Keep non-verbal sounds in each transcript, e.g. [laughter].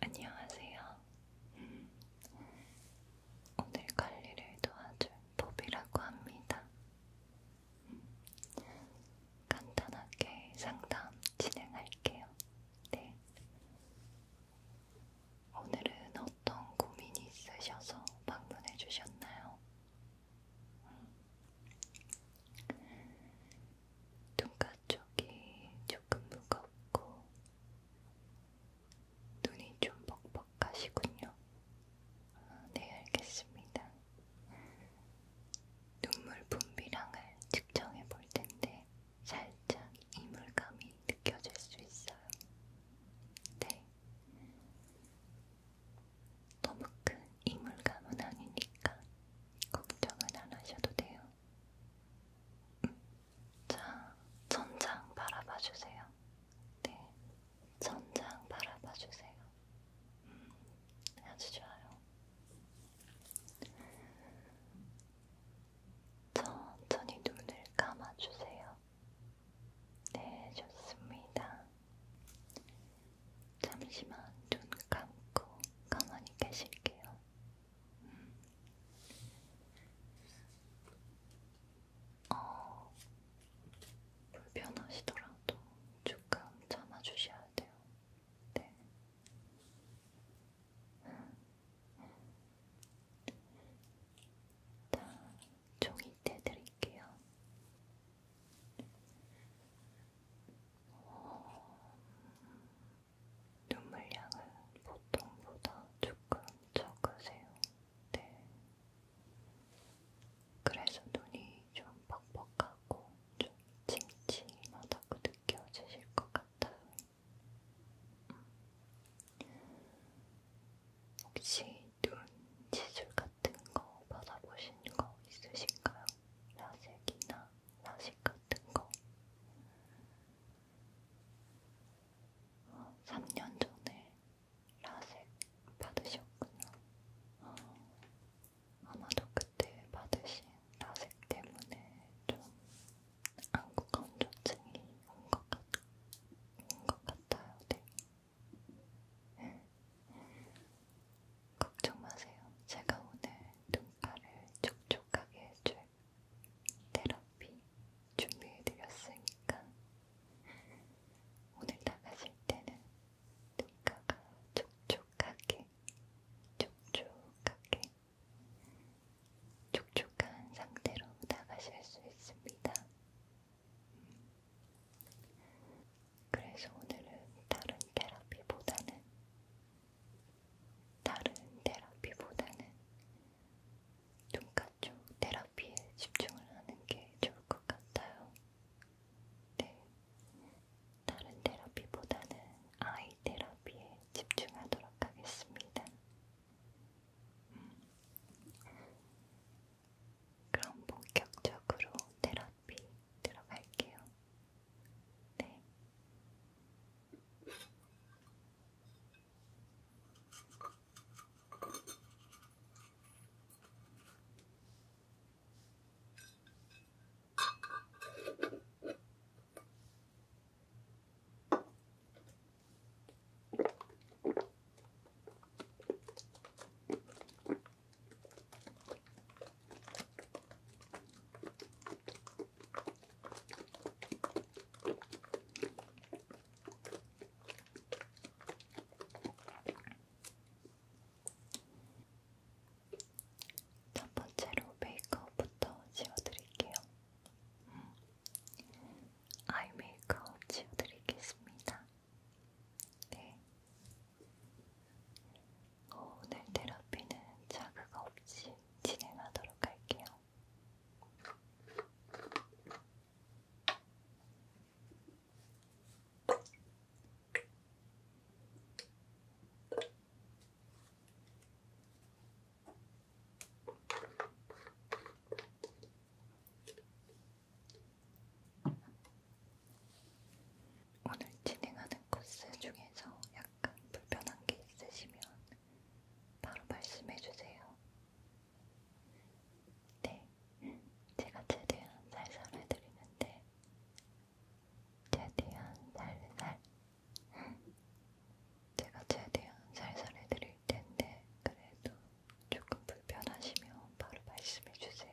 안녕하세요. 오늘 관리를 도와줄 법이라고 합니다. 간단하게 상담 진행할게요. 네. 오늘은 어떤 고민이 있으셔서 방문해 주셨나요? 눈가 쪽이 조금 무겁고 눈이 좀 뻑뻑하시군요. 아, 네, 알겠습니다. 눈물 분비량을 측정해 볼 텐데 살짝 이물감이 느껴질 수 있어요. 네. 너무 큰 이물감은 아니니까 걱정은 안 하셔도 돼요. 음. 자, 천장 바라봐 주세요. 네, 천장 바라봐 주세요. 음, 아주 좋아요. 천천히 눈을 감아주세요. 네, 좋습니다. 잠시만 눈 감고 가만히 계실게요. 음. 어, 불편하시더라도 조금 참아주셔야 돼요. 네. 자, 음. 음. 종이 떼드릴게요. 눈물량은 보통보다 조금 적으세요. 네. 그래서 눈이 좀 뻑뻑하고 좀 침침하다고 느껴지실 것 같아요. 음. 혹시 눈 지술 같은 거 받아보신 거 있으신가요? 라섹이나 야식 같은 거. 3년 전에 라섹 받으셨구나. 어, 아마도 그때 받으신 라섹 때문에 좀 안구 건조증이 온 것 같, 온것 같아요. 네. 걱정 마세요. 제가 오늘 눈가를 촉촉하게 해줄 테라피 준비해드렸으니까 오늘 나가실 때는 눈가가 촉촉하게, 촉촉하게, 촉촉한 상태로 나가실 수 있습니다. 그래서 오늘은 다른 테라피보다는 다른 테라피보다는 눈가 쪽 테라피에 집중을 하는 게 좋을 것 같아요. 네. 다른 테라피보다는 아이 테라피에 집중하도록 하겠습니다. 음. 그럼 본격적으로 테라피 들어갈게요. 네. 첫 번째로 메이크업부터 지워드릴게요. 음. 아이 메이크업 지워드리겠습니다. 네. 오늘 테라피는 자극 없이 진행하도록 할게요. 오늘 진행하는 코스 중에서 약간 불편한 게 있으시면 바로 말씀해 주세요. 네, 제가 최대한 살살 해드리는데 최대한 살살 제가 최대한 살살 해드릴 텐데 그래도 조금 불편하시면 바로 말씀해 주세요.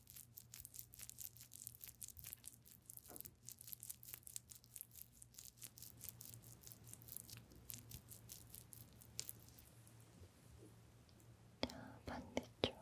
자, 반대쪽.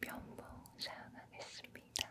면봉 사용하겠습니다.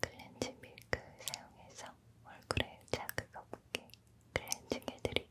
클렌징 밀크 사용해서 얼굴에 자극 없게 클렌징 해드릴게요.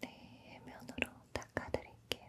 네, 면으로 닦아드릴게요.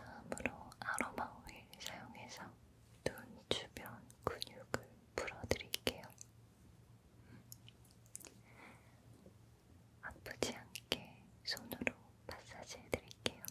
다음으로 아로마 오일 사용해서 눈 주변 근육을 풀어드릴게요. 아프지 않게 손으로 마사지 해드릴게요.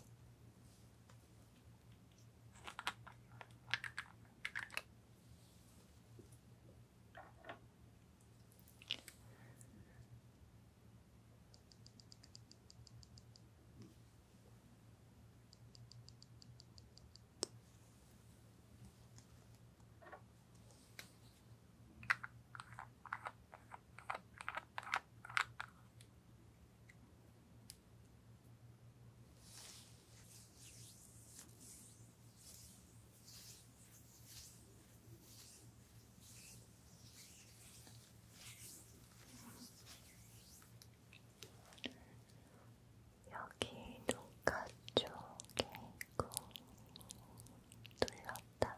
여기 눈가 쪽에 있고 눌렀다가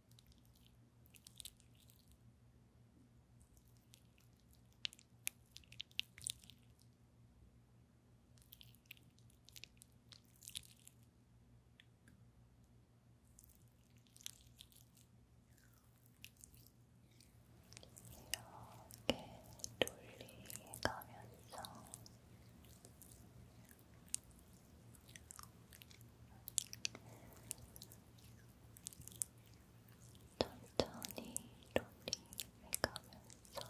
이렇게 돌리가면서 천천히 롤링해가면서 자,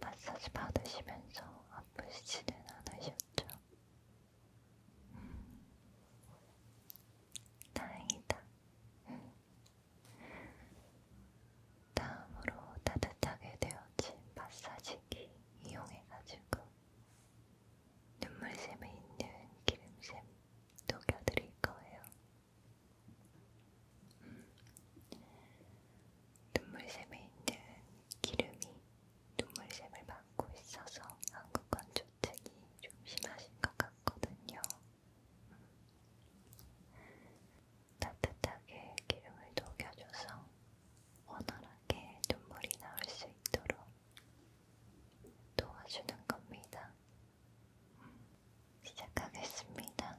마사지 받으시면서 아프시지는 않으셨죠? 다행이다. 다음으로 따뜻하게 되어진 마사지기 이용해가지고 눈물샘에 있는 기름샘 녹여드릴 거예요. 음. 눈물샘에 있는 기름이 눈물샘을 받고 있어서 한국은 주택이 좀 심하신 것 같거든요. 따뜻하게 기름을 녹여줘서 원활하게 눈물이 나올 수 있도록 도와주는 겁니다. 시작하겠습니다.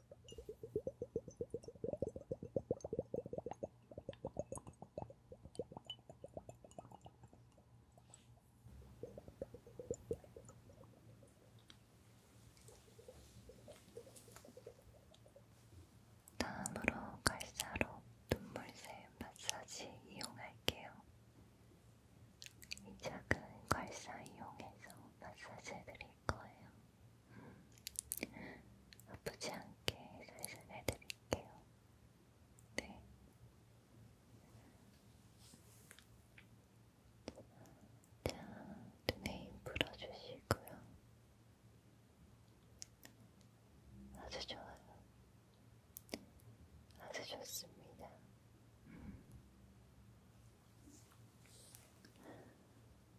다음으로 갈사로 눈물샘 마사지 이용할게요. 이 작은 괄사 이용해서 마사지 해드릴게요. 거예요. 음. 아프지 않게 살살 해드릴게요. 네. 자, 눈에 힘 풀어주시고요. 아주 좋아요. 아주 좋습니다. 음.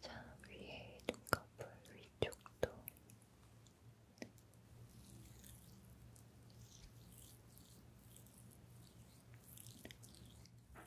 자, 위에 커플 위쪽도 자,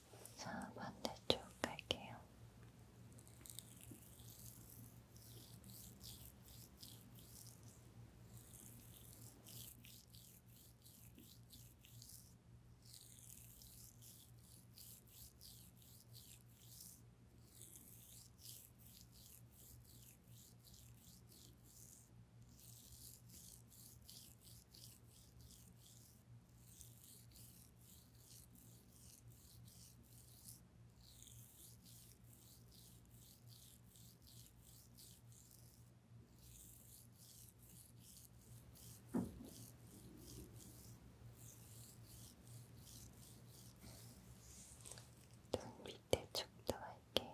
자, 반대쪽 갈게요. 눈 밑에 쪽도 할게요.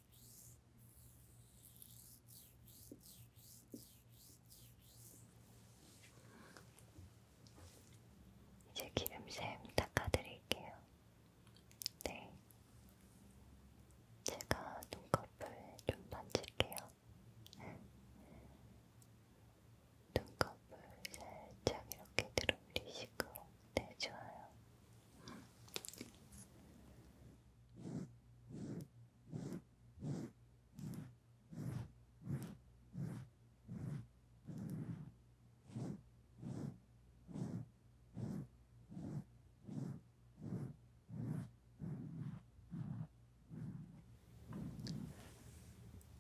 이제 기름샘 닦아드릴게요. 네. 제가 눈꺼풀 좀 만질게요. 눈꺼풀 살짝 이렇게 들어올리시고, 네, 좋아요.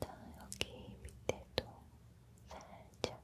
자, 여기 밑에도 살짝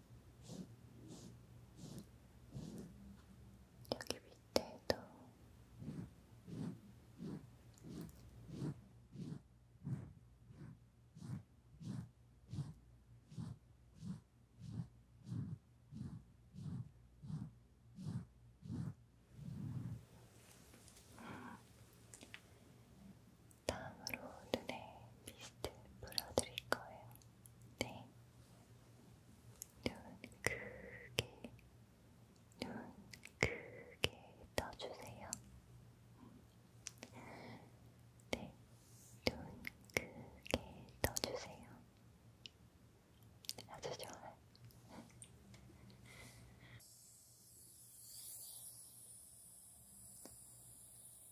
여기 밑에도 다음으로 눈에 미스트 뿌려드릴 거예요. 네. 눈 크게, 눈 크게 떠주세요. 네. 눈 크게 떠주세요. 아주 좋아요.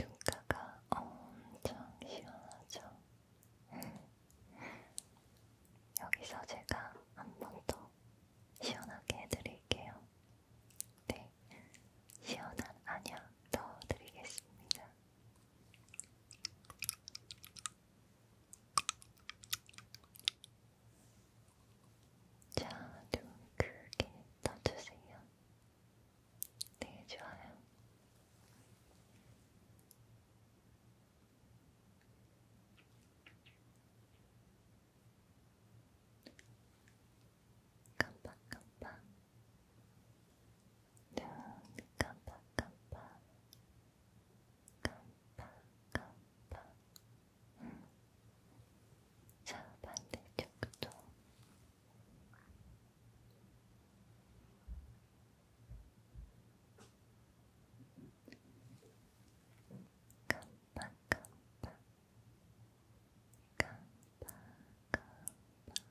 눈가가 엄청 시원하죠? [laughs] 여기서 제가 한번더 시원하게 해드릴게요. 네, 시원한 안약 넣어드리겠습니다. 자, 눈 크게 떠주세요. 네, 좋아요. 깜빡깜빡 눈 깜빡깜빡 깜빡깜빡 음. 자 반대쪽도 깜빡깜빡 깜빡 깜빡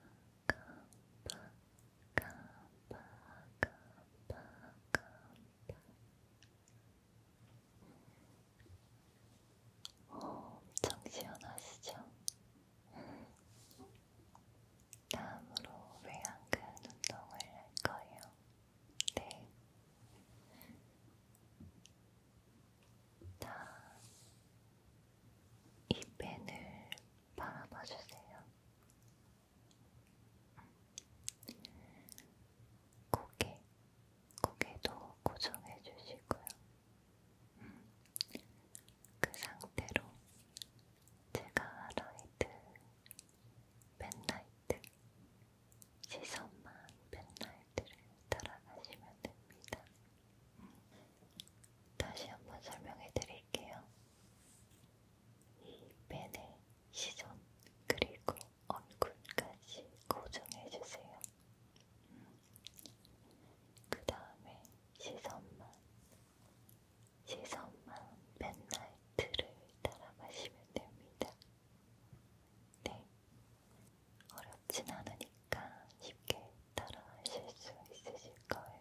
깜빡 깜빡 깜빡 깜빡 엄청 시원하시죠? 다음으로 외양근 운동을 할 거예요. 네. 다, 이 펜을 바라봐 주세요. 고개, 고개도 고정해 주시고요. 그 상태로 제가 라이트, 펜라이트 시선만 백날들을 따라가시면 됩니다. 다시 한번 설명해 드릴게요. 이 펜의 시선 그리고 얼굴까지 고정해 주세요. 그 다음에 시선만, 시선만 펜라이트를 따라가시면 됩니다. 네, 어렵진 않으니까 쉽게 따라 하실 수 있으실 거예요.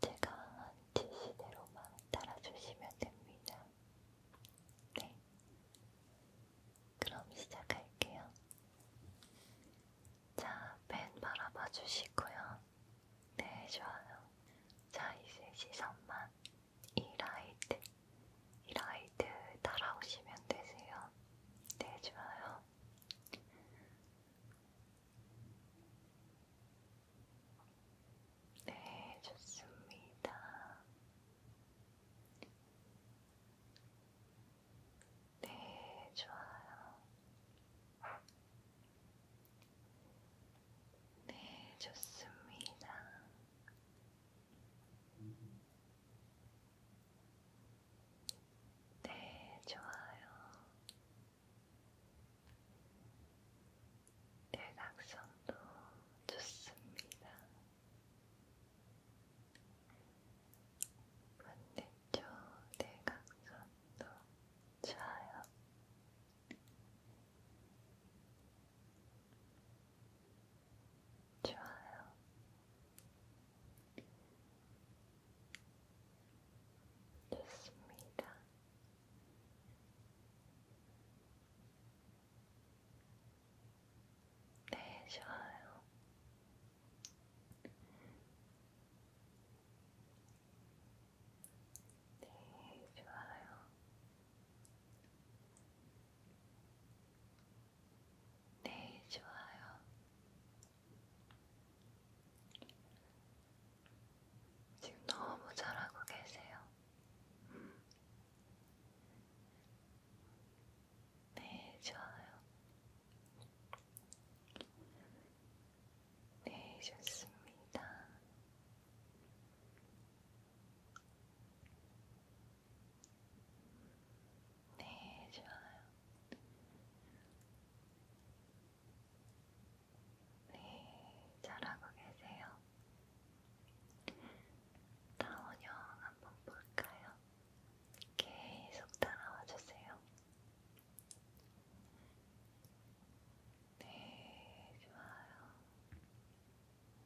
제가 지시대로만 따라주시면 됩니다. 네. 그럼 시작할게요. 자, 펜 바라봐 주시고요. 네, 좋아요. 자, 이제 시선만 이 라이트, 이 라이트 따라오시면 되세요. 네, 좋아요. 네, 좋습니다. 네, 좋아요. 네, 좋습니다. 네, 좋아요. 대각선도 네, 좋습니다. 반대쪽 대각선도 네, 좋아요. 좋아요. 됐습니다. 네, 좋아요. 네, 좋아요. 네, 좋아요. 지금 너무 잘하고 계세요. 음. 네, 좋아요. 네, 좋습니다. 네, 좋아요. 네, 잘하고 계세요. 다원형 한번 볼까요? 계속 따라와 주세요. 네, 좋아요.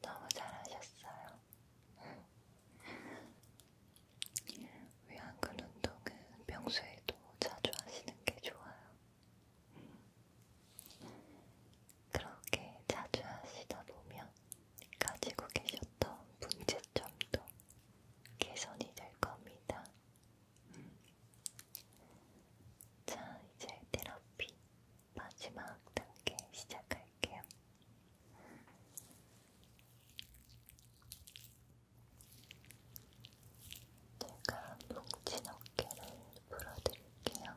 너무 잘하셨어요. 위안근 운동은 평소에도 자주 하시는 게 좋아요. 그렇게 자주 하시다 보면 가지고 계셨던 문제점도 개선이 될 겁니다. 음. 자, 이제 테라피 마지막 단계 시작할게요. 제가 뭉친 어깨를 풀어드릴게요.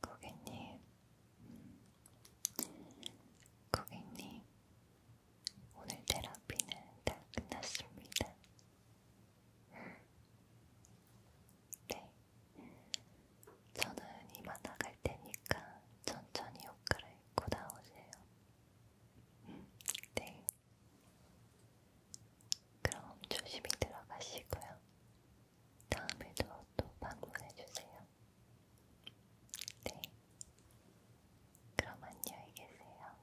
고객님, 고객님, 오늘 테라피는 다 끝났습니다. 네, 저는 이만 나갈 테니까 천천히 옷 갈아입고 나오세요. 음, 네. 그럼 조심히 들어가시고요. 다음에도 또 방문해주세요. 네. 그럼 안녕히 계세요.